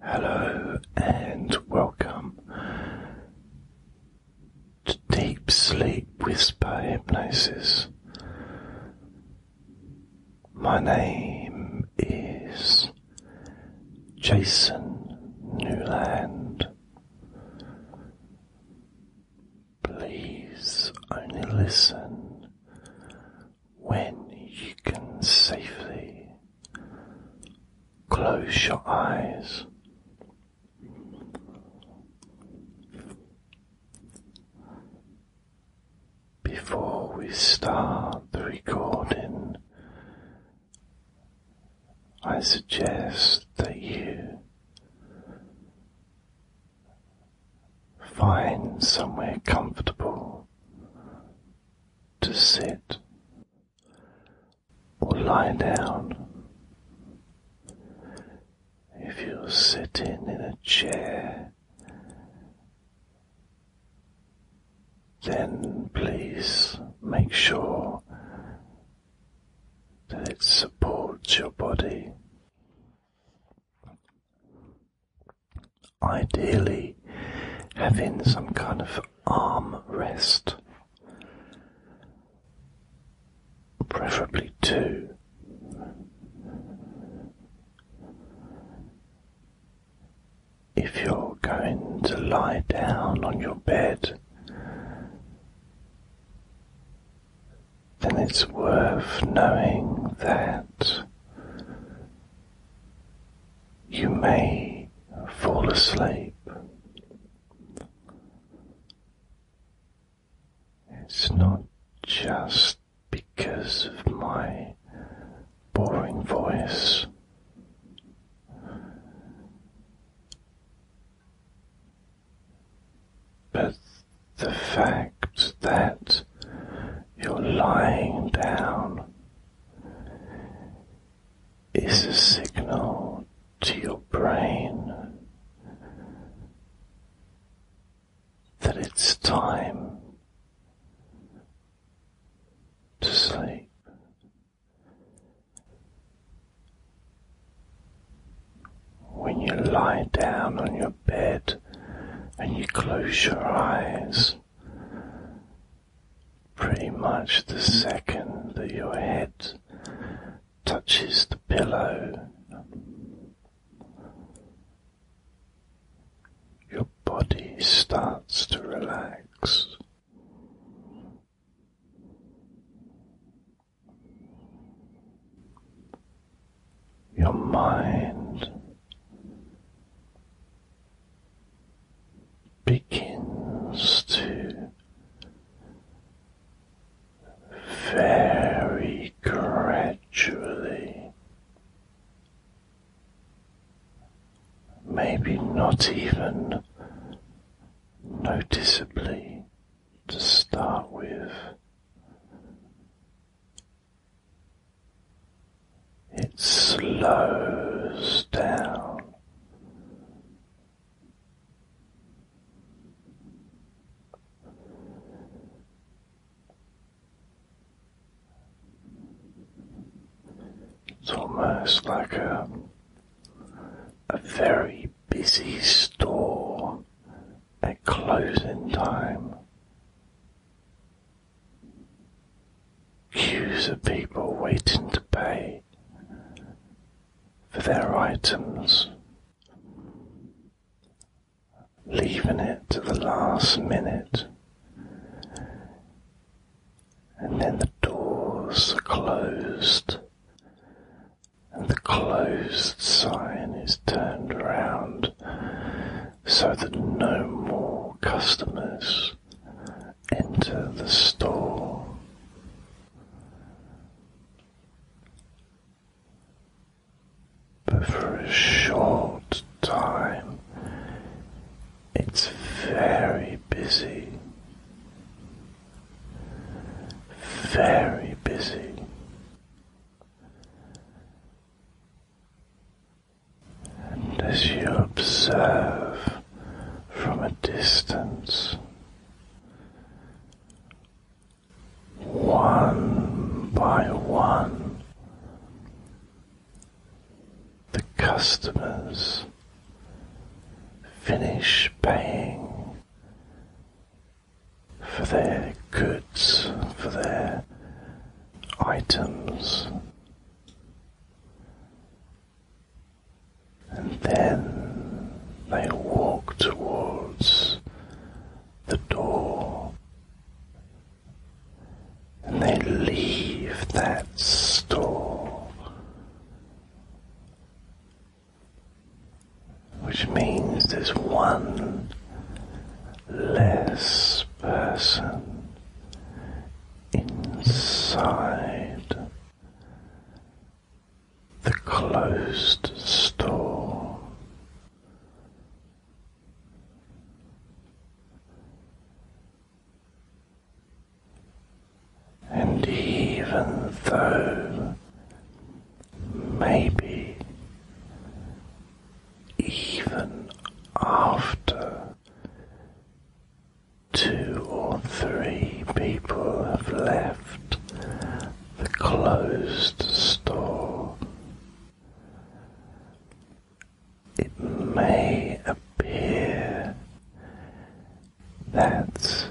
Hello and welcome to Deep Sleep Whisper Hypnosis. My name is Jason Newland. Please only listen when you can safely close your eyes. Before we start the recording, I suggest that you find somewhere comfortable to sit or lie down. If you're sitting in a chair, then please make sure that it supports your body ideally having some kind of arm rest, preferably two. If you're going to lie down on your bed, then it's worth knowing that you may fall asleep. It's not just because of my boring voice. But the fact that you're lying down is a signal to your brain that it's time to sleep. When you lie down on your bed and you close your eyes, Pretty much the second that your head touches the pillow, your body starts to relax. Your mind begins to very gradually, maybe not even noticeably to start with. It slows down. It's almost like a, a very busy store at closing time. Queues of people waiting to pay for their items, leaving it to the last minute, and then the doors are closed, and the closed sign is turned around so that no more customers enter the store. But for a short time, it's very busy, very busy and as you observe from a distance, one by one, the customers finish paying for their goods, for their items. And then they walk towards the door. And they leave that store, which means there's one less person inside the closed store. And even though maybe even after two or three people have left the closed store. It may appear that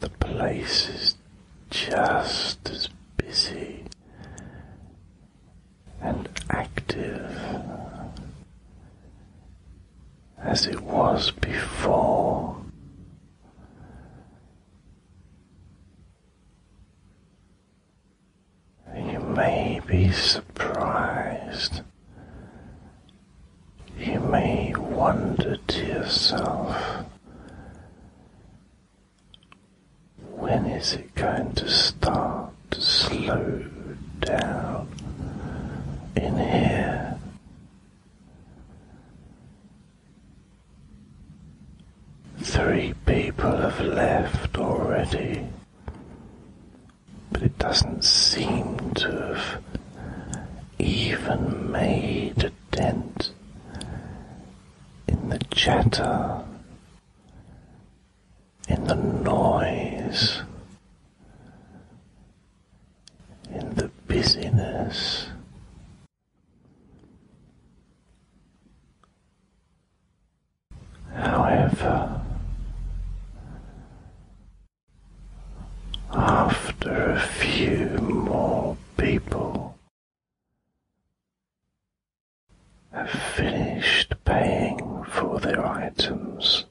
the place is just as busy and active as it was before. You may be surprised. You may wonder to yourself, when is it going to stop? to slow down in here. Three people have left already, but it doesn't seem to have even made a dent in the chatter in the noise, in the busyness. However, after a few more people have finished paying for their items.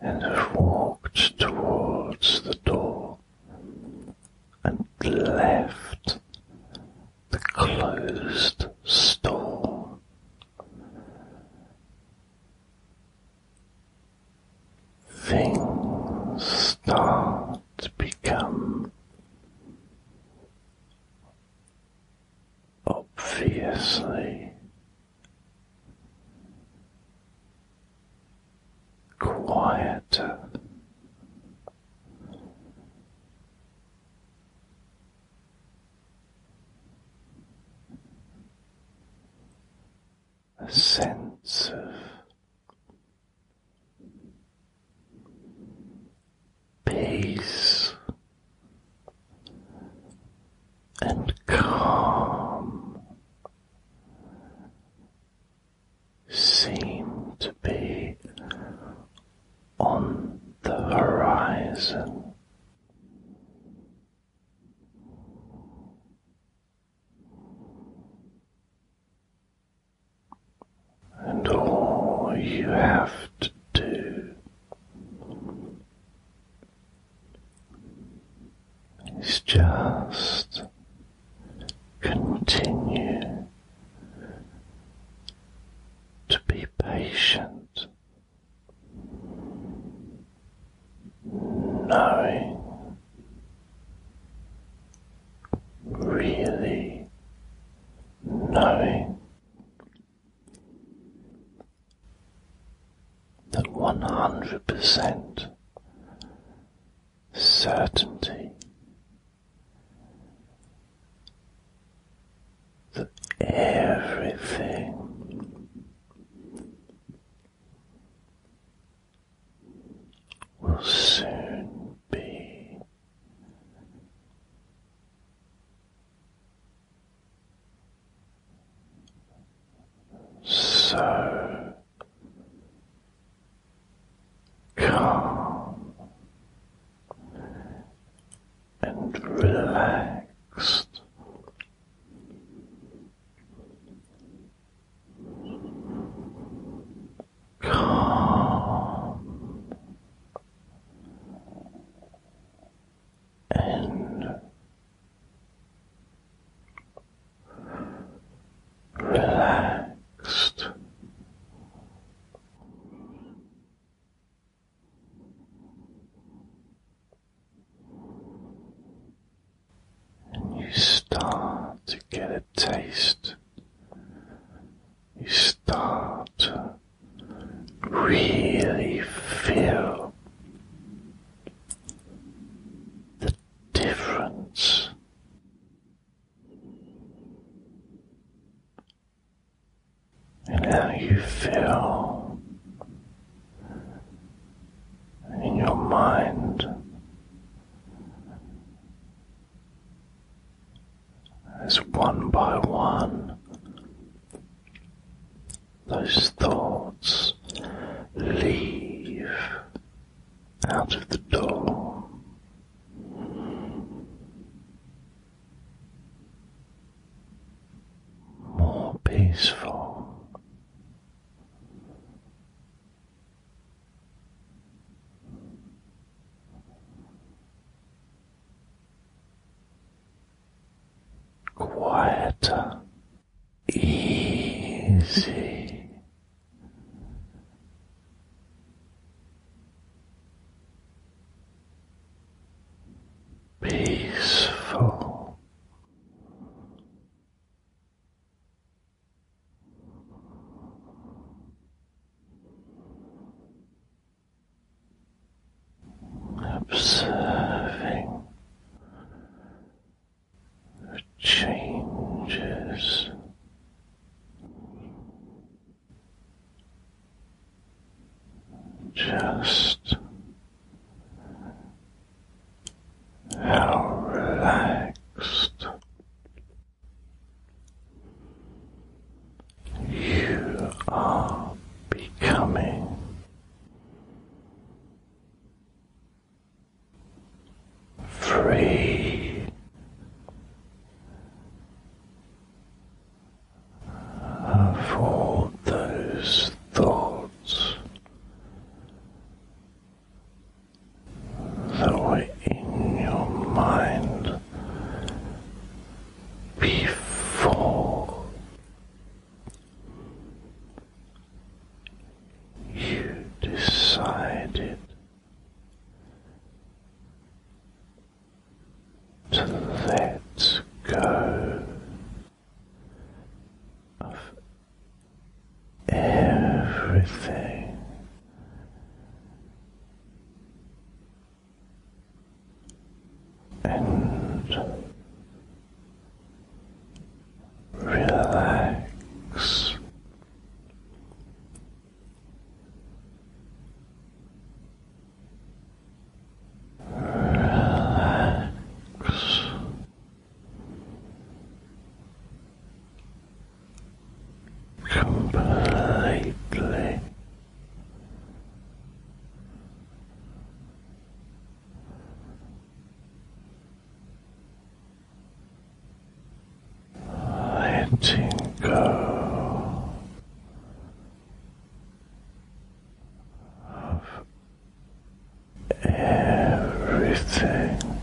And have walked towards the door and left the closed store things start to become obviously quieter. A sense of peace and calm seem to be on the horizon. And all you have to do is just continue to be patient, knowing really knowing that 100% certainty that everything will soon be so calm and relaxed calm and relaxed. And you start to get a taste you start to really feel the difference. And how you feel in your mind as one by one, those thoughts leave out of the door. More peaceful, quieter, easy. Peaceful, Observing the changes just how relaxed you are becoming free of all those thoughts that were in your mind before you decided to let go of everything. And relax. Relax completely. Letting go of everything.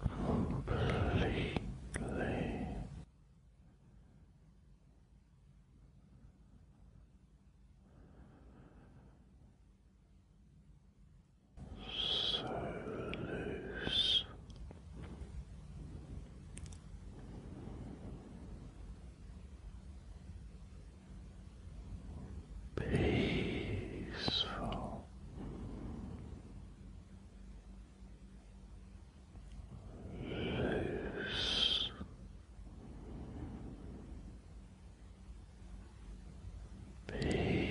completely so loose peaceful, loose. Peaceful.